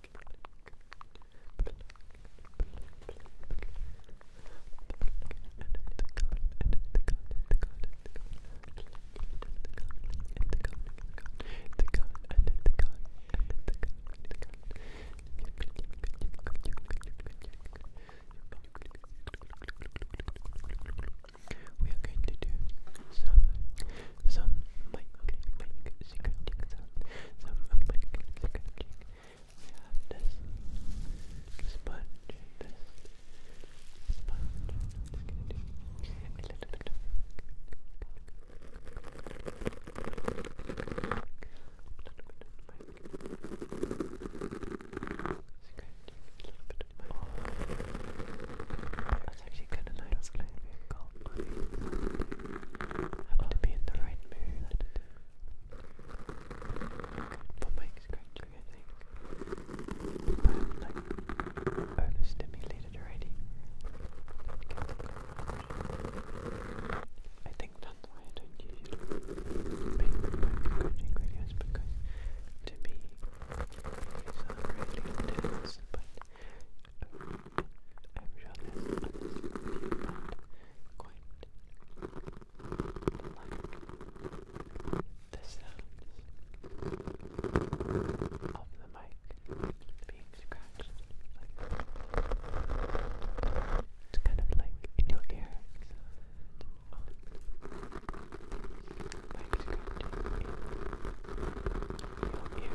We are going to do some, some mic, mic, scratching sound. Some of my scratching. We have this sponge, this sponge. I'm just gonna do a little bit of Scratching a little bit of my. Oh, that's actually kind of nice. Like we've got help me. Have to be in the right mood. for mic scratching, I think. I'm like overstimulated already. I think that's why I don't usually make mic scratching videos because to me these really intense I'm sure there's others quite like the sounds the mic being scratched like it's kind of like in your ear oh. mic scratching in your ear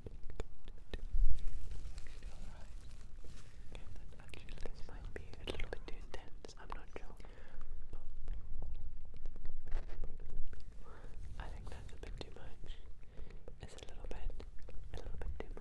that actually might be a little bit too intense, I'm not sure. I think that's a bit too much. It's a little bit, a little bit too much.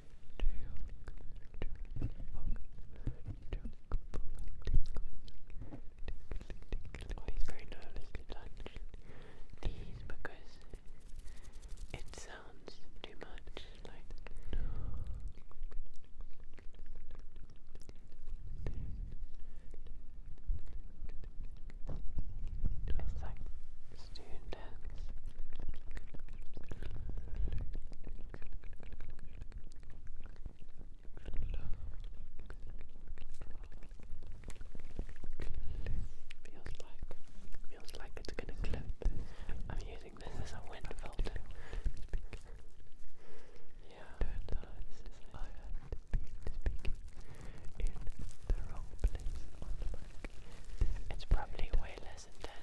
Oh, he's very nervously touched these because it sounds too much like no. It's like students. Feels like, feels like it's gonna clip. I'm using this as a wind filter. Yeah, this is I had been speaking in the wrong place It's probably way less intense.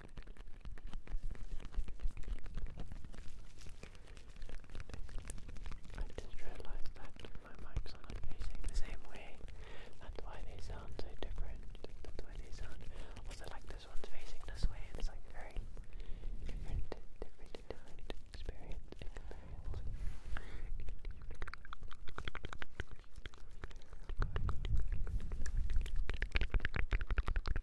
I just realised that my mics are not facing the same way. That's why they sound so different. That's why they sound also like this one's facing this way. It's like very different, different, experience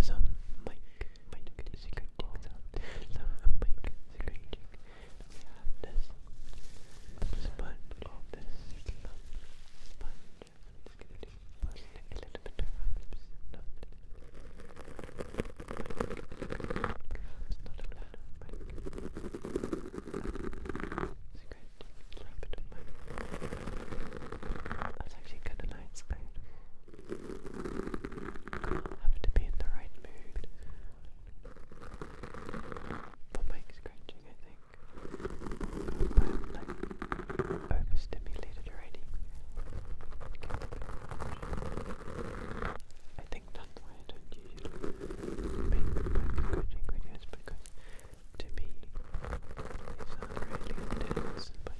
Some might might secreting some some might secreting. We have this sponge of this sponge. I'm just going a little bit of not not a lot of Secret, a little bit of That's actually kind of nice. I have to be in the right mood for mic scratching, I think. But I'm I think that's why I don't usually make mic scratching videos because to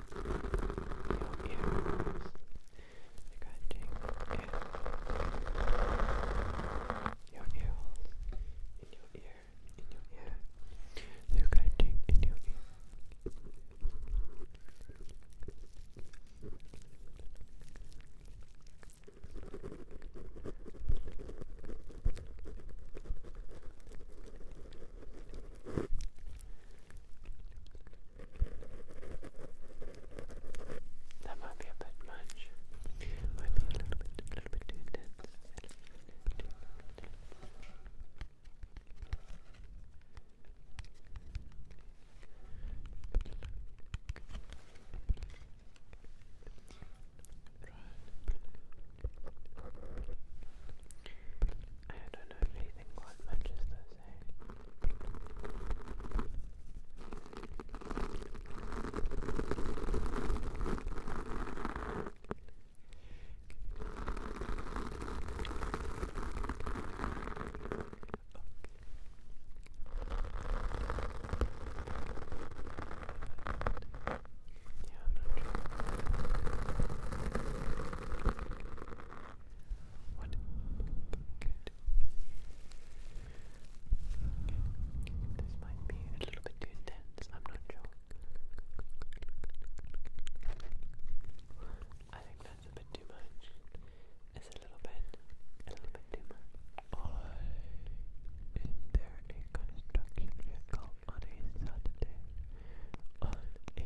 earrings, scratching earrings, your earholes, in your ear, in your ear, scratching in your ear. Scratching, that might be a bit much. might be a little bit, a little bit too intense. I don't know if anything quite matches those, yeah, what? Good. This might be a little bit too intense. I'm not I think that's a bit too much. It's a little bit, a little bit too much. Oh, is there construction vehicle on a Saturday? On a Saturday.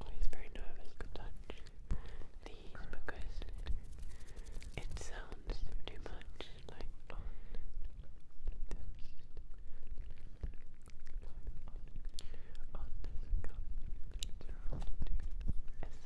Always oh, very nervous to touch these because it sounds too much like on this, on, on this cup. It's around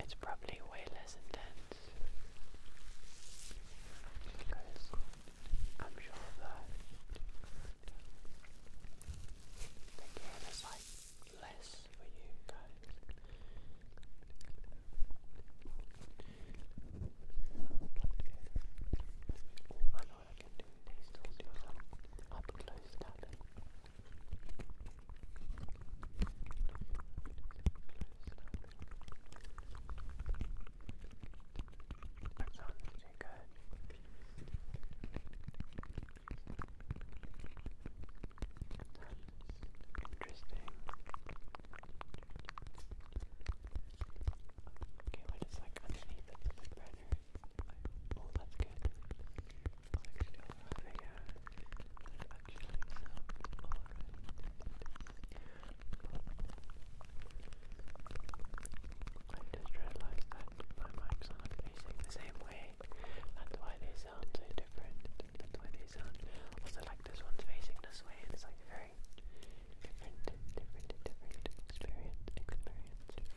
It's probably way less intense I'm sure that the game is like less for you guys. I know I can do. Still do some up close tapping. That sounds too good. Interesting. Okay, what is like underneath The big Oh, that's good. I just realized that my mics not facing the same way. That's why they sound so different. That's why they sound also like this one's facing this way, it's like very different, different, different experience. Experience.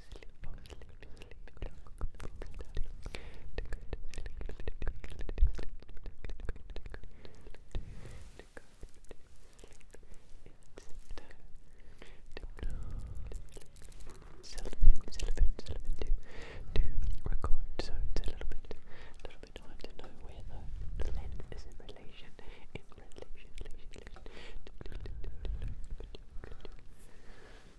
to record, so it's a little bit, little bit hard to know where the lens is in relation, in relation, relation, relation.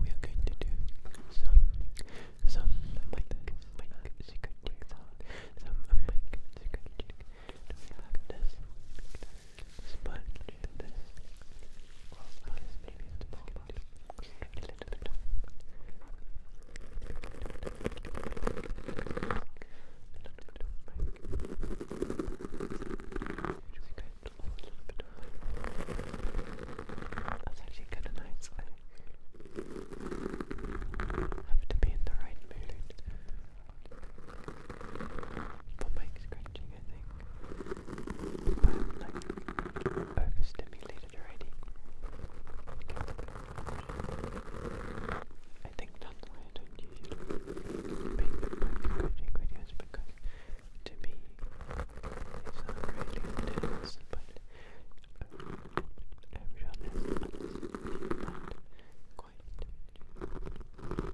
We are going to do some, some mic, mic, secret trick sound, some mic, secret trick. Do we have this? Sponge, this. Well, I guess maybe it's a little bit. A little bit of mic. Do we go bit, oh, a little bit. That's I have to be in the right mood for mic scratching, I think. But like overstimulated already. I think that's why I don't usually make to me. It's not really intense, but everyone has quite like sounds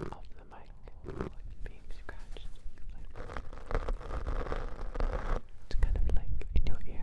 of the mic being scratched. it's kind of like in your ear.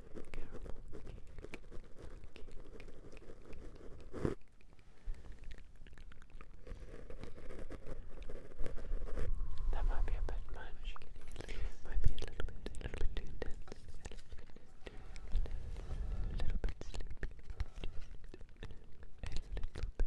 caramel cake. That might be a bit much. Might be a little bit, a little bit too intense. A little bit sleepy. A little bit.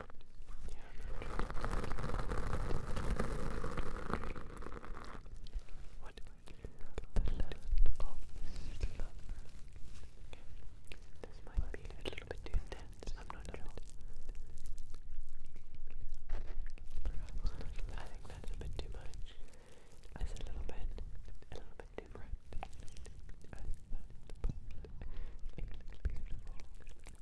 What? The land This might be a little bit too intense. I'm not sure. I think that's a bit too much. That's a little bit, a little bit too bright. beautiful.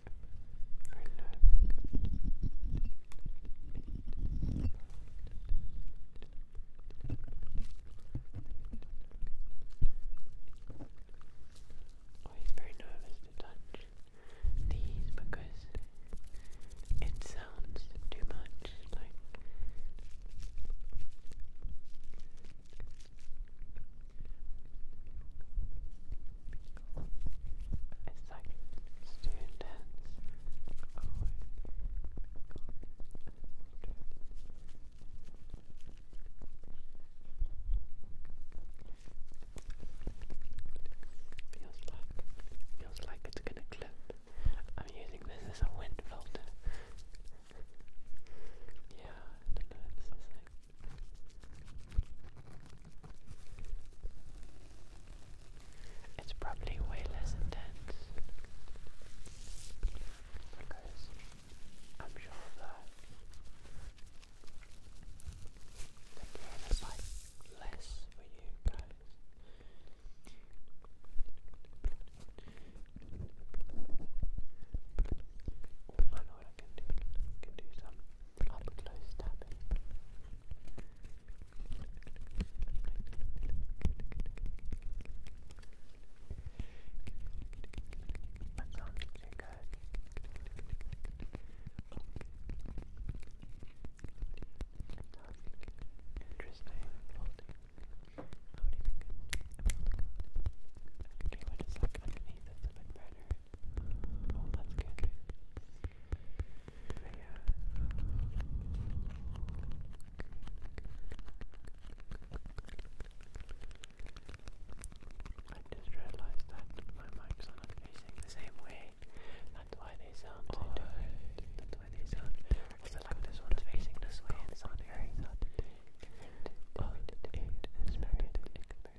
Oh, he's very nervous to touch these because it sounds too much like. It's like students Feels like feels like it's gonna clip. I'm using this as a wind filter. yeah, I don't know, this is like it's probably way less intense because I'm sure that the game like less for you guys. I know I can do, I can do some I'm up close tapping. That sounds too good. Interesting. Okay, what is like underneath? That's a bit better. Oh, that's I just realized that my mics are not facing the same way. That's why they sound different. That's why they sound. Also, like this one's facing this way and sounding very different. Different,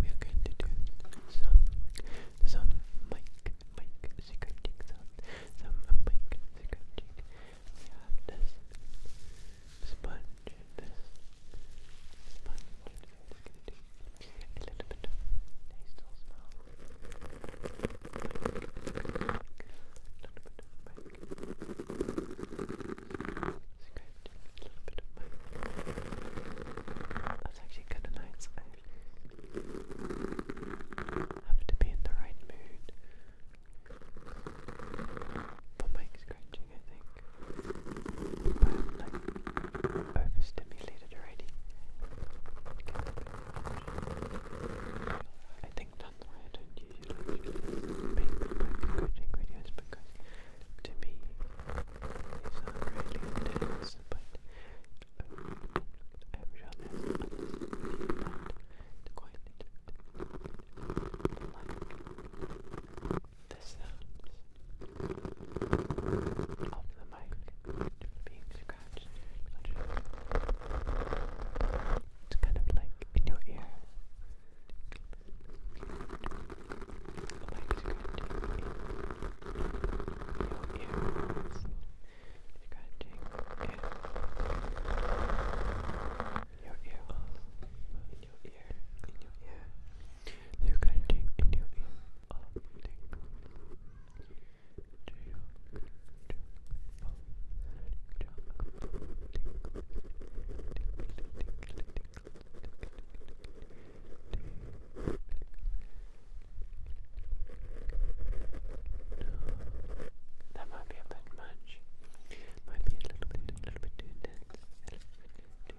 We are going to do some some mic mic scratching sound. Some mic scratching. We have this sponge, this sponge. It's gonna do a little bit of nasal smell. A little bit of that's actually kind of nice. I to be in the right mood for mic scratching, I think. like overstimulated already. I think that's why I don't usually make coaching videos because to me these are really intense, but I'm sure there's others quite like the sounds of the mic being scratched. It's kind of like in your ear. in your ears. Scratching in your ear. In your ear. In your ear. Scratching in your ear. That might be a bit much. Might be a little bit, a little bit too intense. A little bit too intense. Good.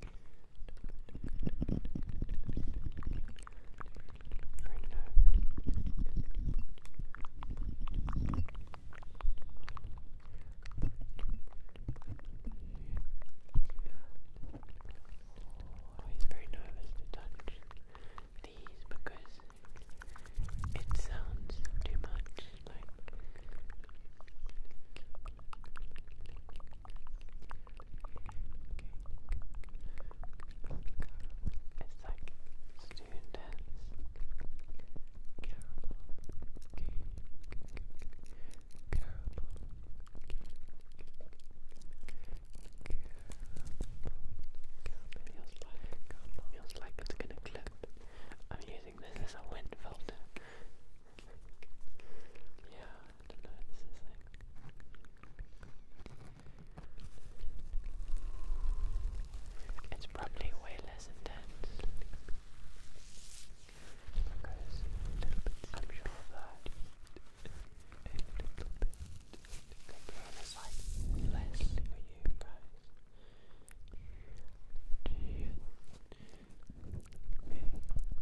Always oh, very nervous to touch these because it sounds too much like. It's like students caramel cake, caramel cake, Feels like it's gonna clip. I'm using this as a wind filter it's probably way less intense I'm sure that a little bit Capricorn is like less for you guys little, oh,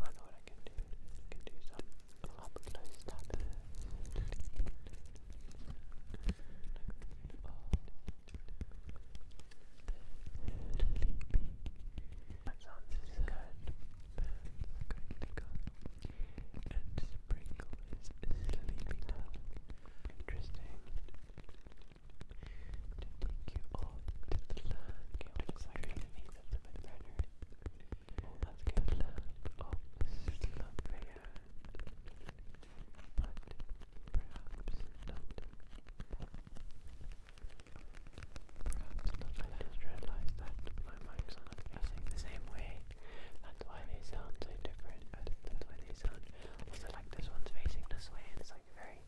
I know what I can do, I can do some up close that sounds so good, are going to come, and Sprinkle is sleepy interesting, to take you off to the land. Okay, what looks like the meat of the burner. Oh, that's good. The land of Slumberia. But perhaps not. Perhaps not. I just realized that my mics are not pressing the same way. That's why they sound so different. That's why they sound. Also, like this one's facing this way, and it's like very very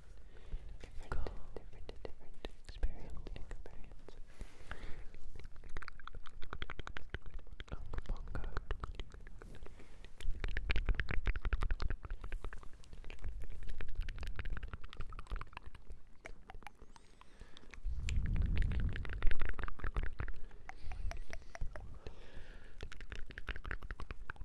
different, cool. different, different experience in comparison. Thank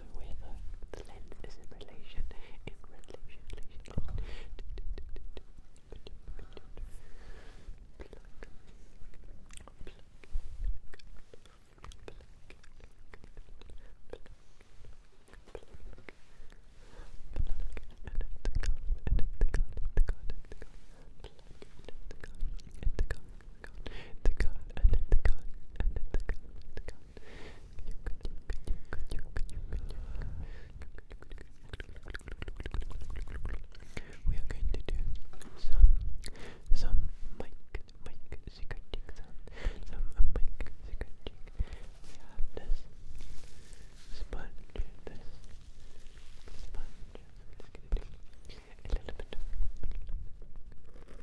know whether the length is in relation, in relation, relation, plug, plug, plug, plug, Plug, the gun, and the gun, and the gun, and the gun. You could, you could, you could, you could, you could, you could. We are going to do some, some mic, mic, secret some mic, secret We have this sponge, this sponge. i a little bit. Of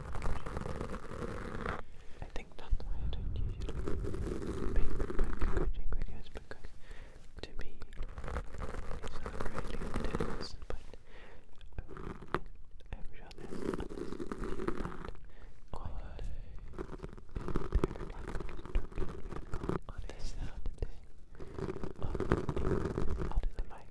I think that's why I don't usually make my coaching videos because to me it's not really intense, but um, I'm sure there's others they're like constructive on this Saturday on the mic.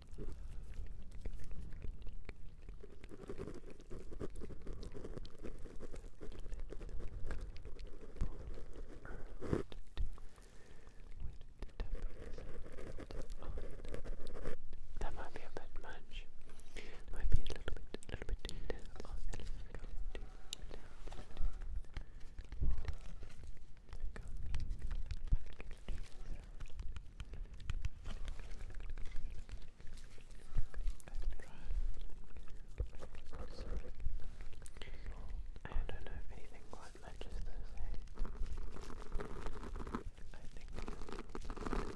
That might be a bit much. might be a little bit, little bit intense. I don't know if anything quite matches those, eh? I think better. So,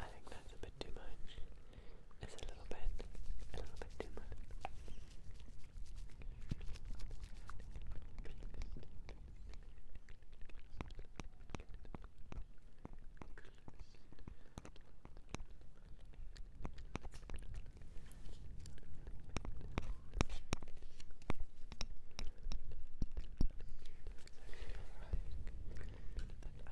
I think that's a bit too much. It's a little bit, a little bit too much.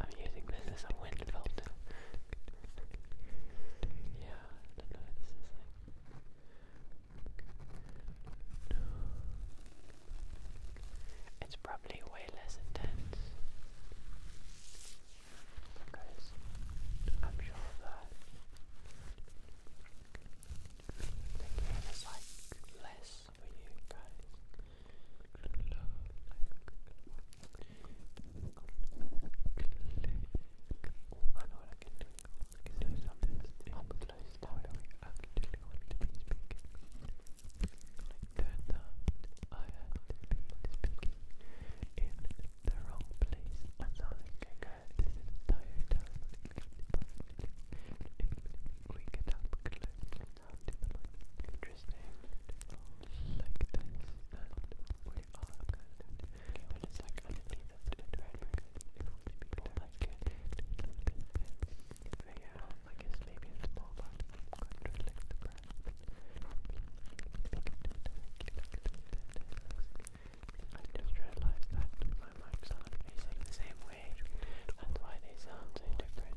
I'm using this as a wind filter. yeah, I don't know what this is like. It's probably way less intense. Because I'm sure the game is like less for you guys. Oh, I know what I can do. I can do something up close to where we actually want to be speaking. Like that, I had to be speaking in the wrong place. And now I can go this entire time. If we get up close down to interesting like this that we are like underneath of the dresser. If we people like it, yeah, I guess maybe it's more about controlling the breath. I just realized that my mics are the same way. That's why they sound so different.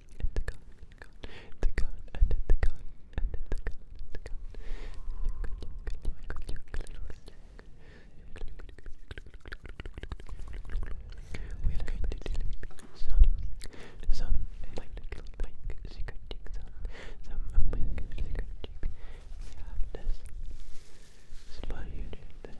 and the gun, the gun, and the gun, and the gun, and the gun. We're going to do some, some mic, mic, secreting, some, some mic, secreting. We have this sponge, this sponge,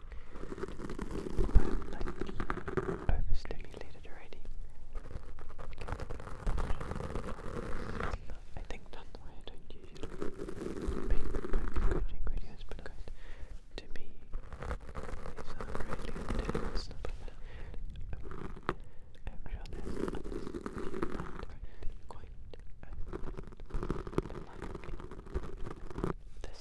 I'm think that's why I don't usually make coaching videos because to me these really intense stuff like that. I'm sure there's others that quite um, this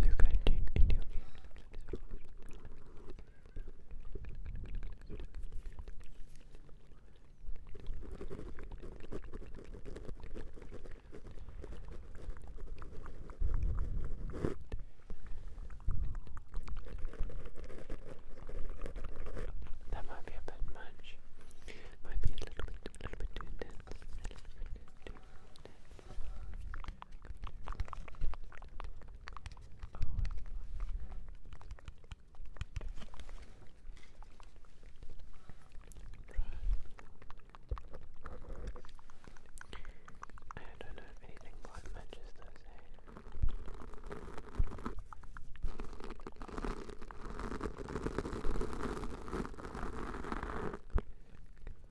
they're That might be a bit much. Might be a little bit, a little bit too intense. I don't know if anything quite matches those, eh? Right.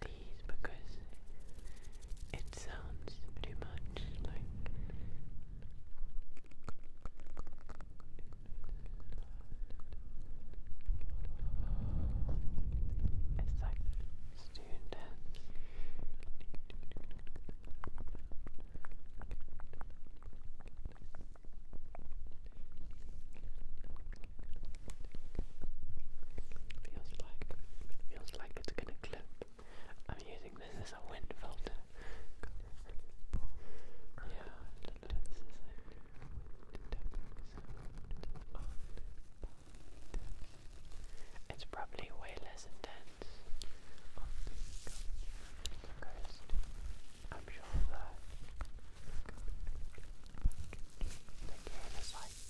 these because it sounds pretty much like it's like student dance. Feels like feels like it's gonna clip. I'm using this as a wind filter. yeah, I don't know, it's probably way less intense. I'm sure that the game is like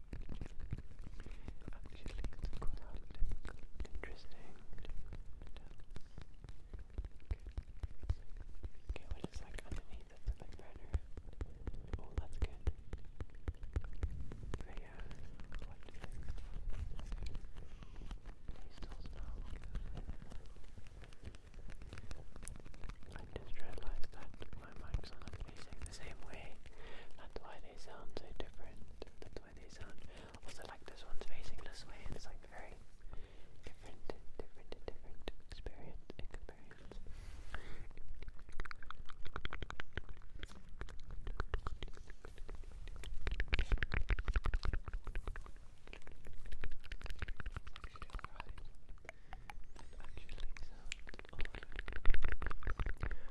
Actually, it's quite hard to Interesting. Okay, what is like underneath that's a bit better? Oh, that's good. But yeah, what do you think? They still smell good. I just realized that my mics are not facing the same way. That's why they sound so different. That's why they sound also like this one's facing this way, it's like very different, different, different experience. Experience. Actually, actually sounds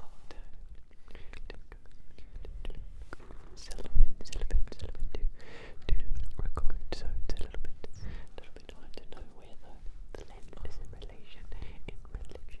all the Cellophane, cellophane, cellophane to, to record, so it's a little bit, a little know where the, length is in relation, in relation,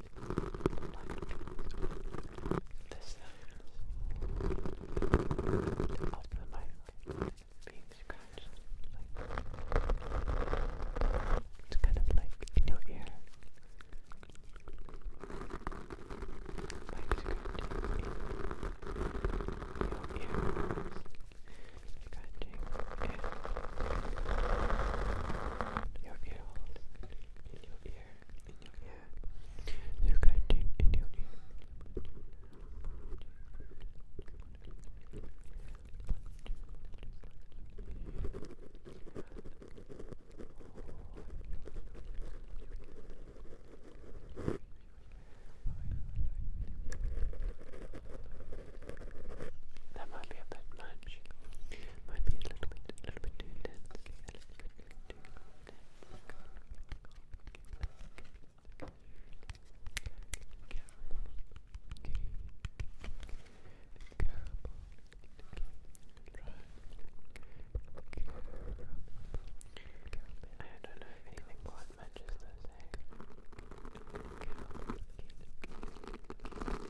The sound of the microphone being scratched, like it's kind of like in your ear. Like scratching in your ear. Scratching in your ear. In your ear. In that might be a bit much. Might be a little bit, a little bit too intense don't know if anything quite matches those eggs.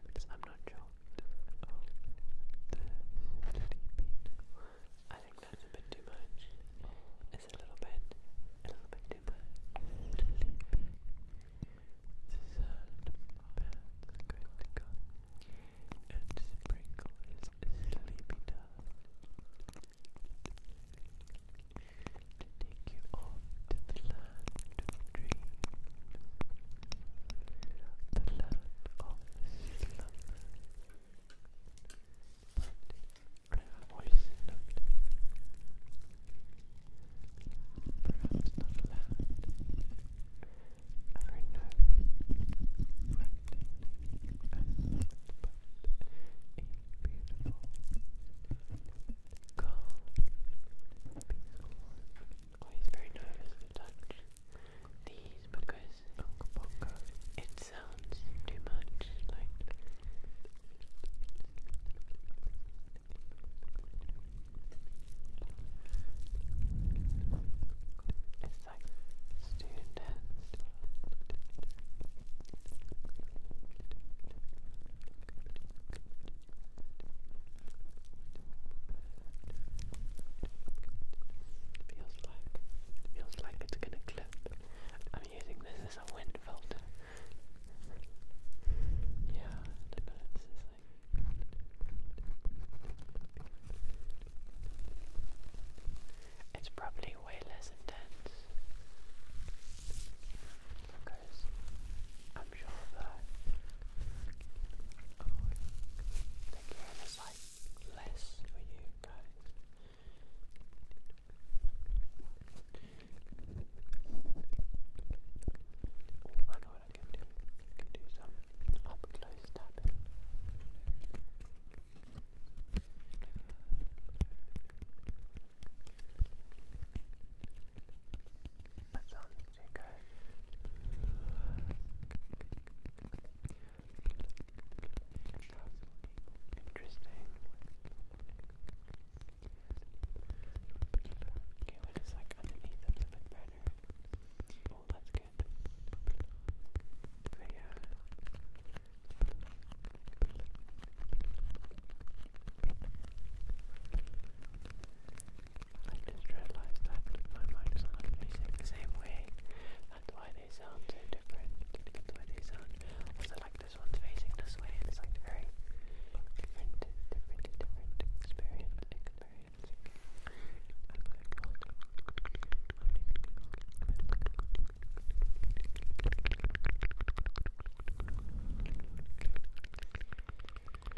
sense. I'm not sure. I think that's a bit too much. It's a little bit, a little bit too much. Sleeping. Sand pads critical. And sprinkle is sleepy dust. To take you all to the land of dreams, the land of slumber. But voice not, perhaps not loud, or no but a beautiful, calm, peaceful, always oh, very nervous to touch these because it sounds too much like. It's like student Feels like, feels like it's gonna clip. I'm using this as a wind filter. Yeah, it's probably way less intense i sure that I would like less for you guys. I know what I can do. can do some up close tapping. That sounds Interesting. Okay, what is like underneath that's a Oh, that's good. yeah. I just realized that my mind is not facing the same way. That's why they sound so different. That's why they sound also like this one's facing this way. It's like very different, different, different experience.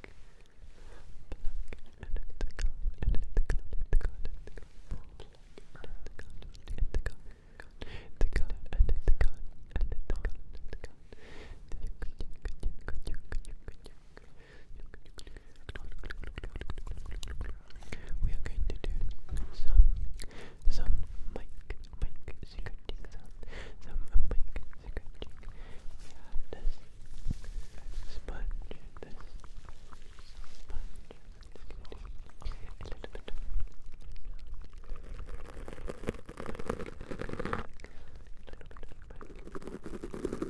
We are going to do some some mic mic secret sound some mic scratching. We have this sponge, this sponge. It's going to be a little bit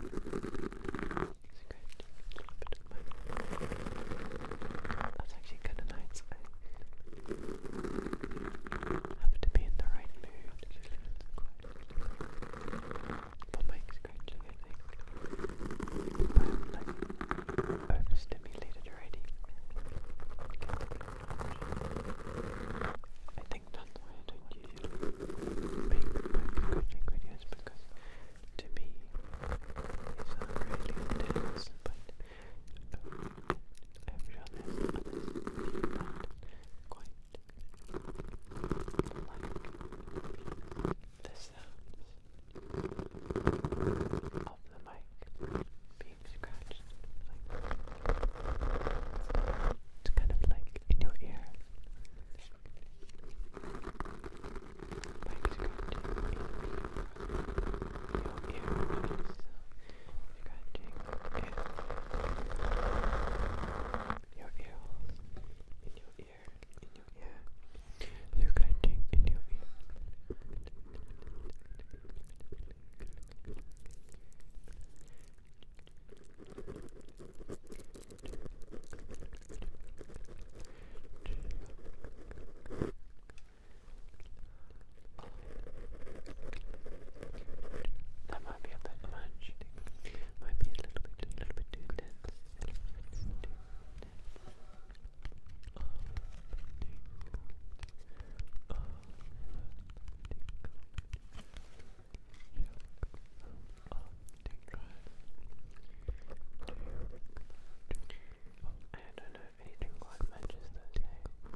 of that's actually kind of nice. I have to be in the right mood. Quite for mic scratching, I think. overstimulated already. I think that's why I don't usually make mic videos because to me they sound really intense, but I'm sure there's quite like the sounds of the mic being scratched. Like, it's kind of like in your ear. Mic scratching in your ear. So scratching in your ears, in your ear, in your ear, scratching in your ear. That might be a bit much. Might be a little bit, a little bit too dense. I don't know anything quite matches those eh?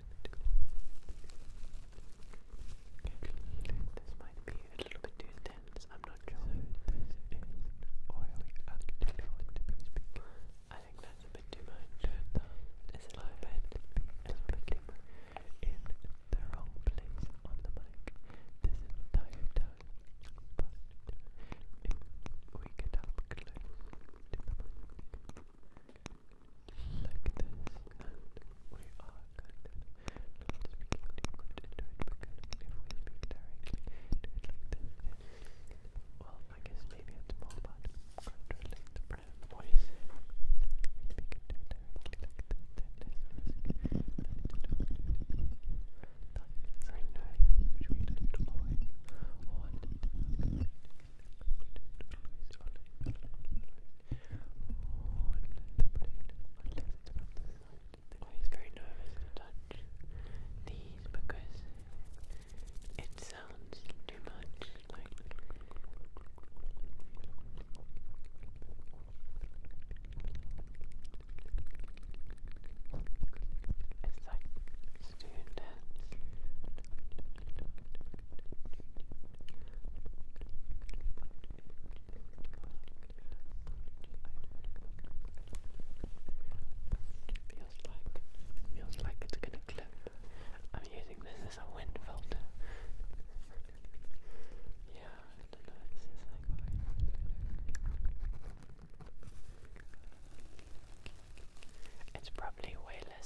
This might be a little too intense, I'm not sure. So this is oily activated. I think that's a bit too much. It's a little bit, a little bit too much. In the wrong place on the mic this entire time, but if we get up close to the mic, like this, and we are connected. Not speaking language into it, because if we speak directly into it like this, well, I guess maybe it's more about controlling the brand voice. We speak into it directly like this, then there's a risk that it don't do it. That's very nice, which we don't always want to do. Always very nervous touch these because it sounds too much like. Feels like, feels like it's gonna clip. I'm using this as a wind filter. yeah, It's probably way less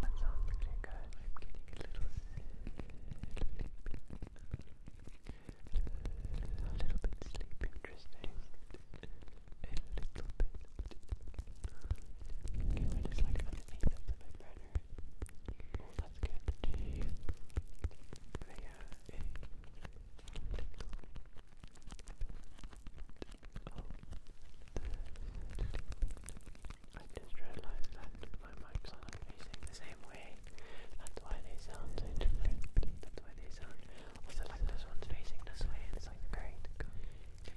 That sounds pretty I'm getting a little sleepy. A little bit sleepy. Interesting. A little bit. Okay, we're like underneath the vibrator. Oh, that's good. They I just realized that my mics are not facing the same way. That's why they sound different. That's why they sound also like this one's facing this way. It's like great, you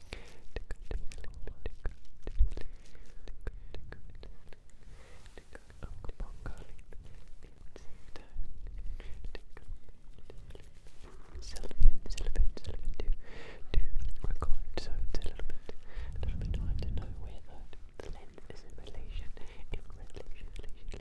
to record, so it's a little bit, a little bit hard to know where length is in relation, in relation, relation,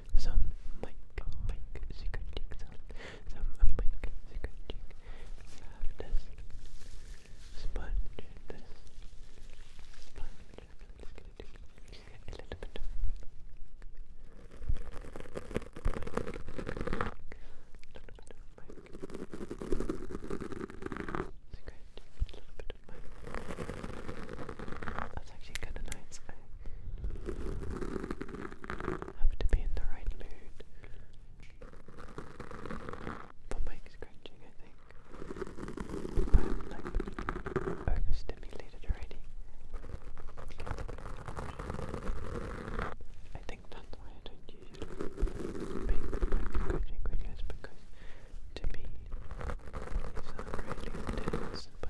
some Mike, Mike, Zuckerberg, some, some Mike, Zuckerberg. We have this sponge, this sponge. I'm just gonna do a little bit of Mike, Zuckerberg. That's actually kind of nice. Have to be in the right mood for mic scratching, I think. overstimulated already. I think that's why I don't usually make the videos because to me, these really intense, but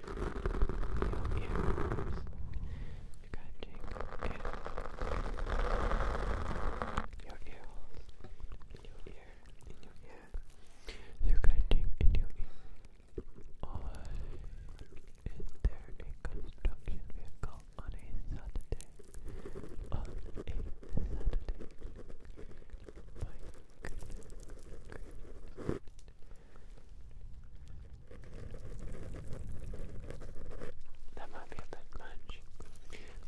your ears, scratching in your ears, your ear, your ear, scratching in your ear. Or is there a construction vehicle on a Saturday? On a Saturday? My that might be a bit much.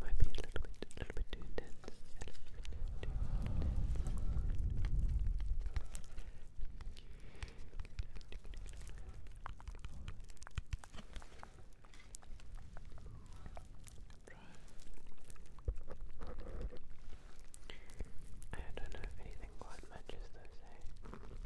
Might be a little bit, a little bit too intense. I don't know if anything quite matches those, eh?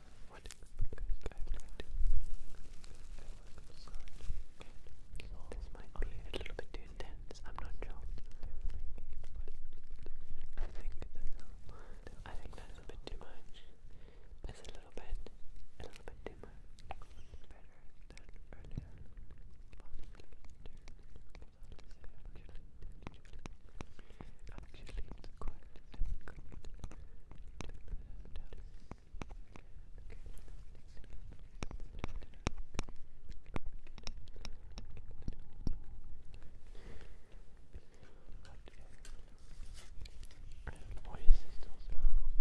This might a little bit too intense. I'm not sure. I think I think that's a bit too much. That's a little bit, a little bit too much. Better than actually it's quite difficult to put that down. Okay. And why is it still so loud?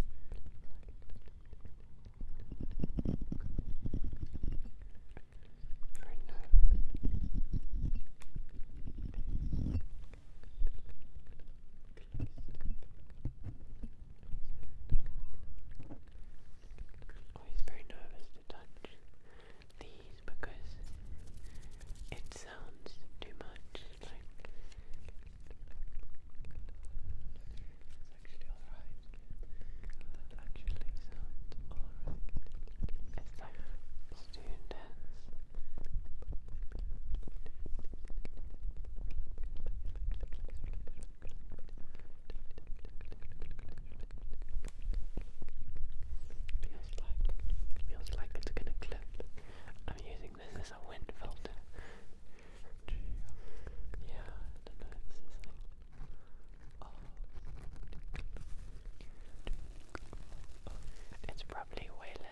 Very nervous. Always oh, very nervous to touch these because it sounds too much. Like actually alright. actually sounds alright. It's like Feels like, feels like it's gonna clip. I'm using this as a wind filter. Yeah, I don't know if this is like. Oh. It's probably way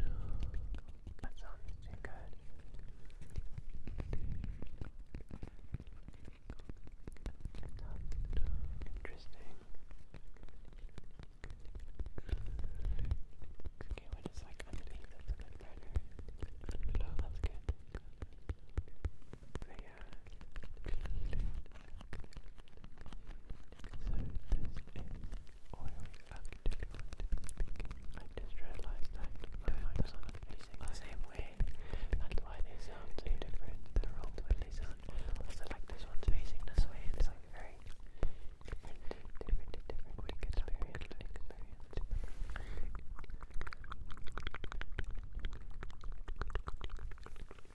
No. That sounds too good. Interesting. Okay, what is like underneath? That's a bit brighter. that's good. I just realised that my mics aren't facing the same way. That's why they sound so different. they all they sound. Also, like this one's facing this way. It's like very different, different, different. We could experience, experience.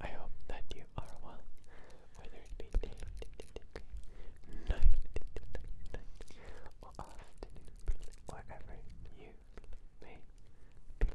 I hope that you are well, whether it be day, night, or afternoon, wherever you may be.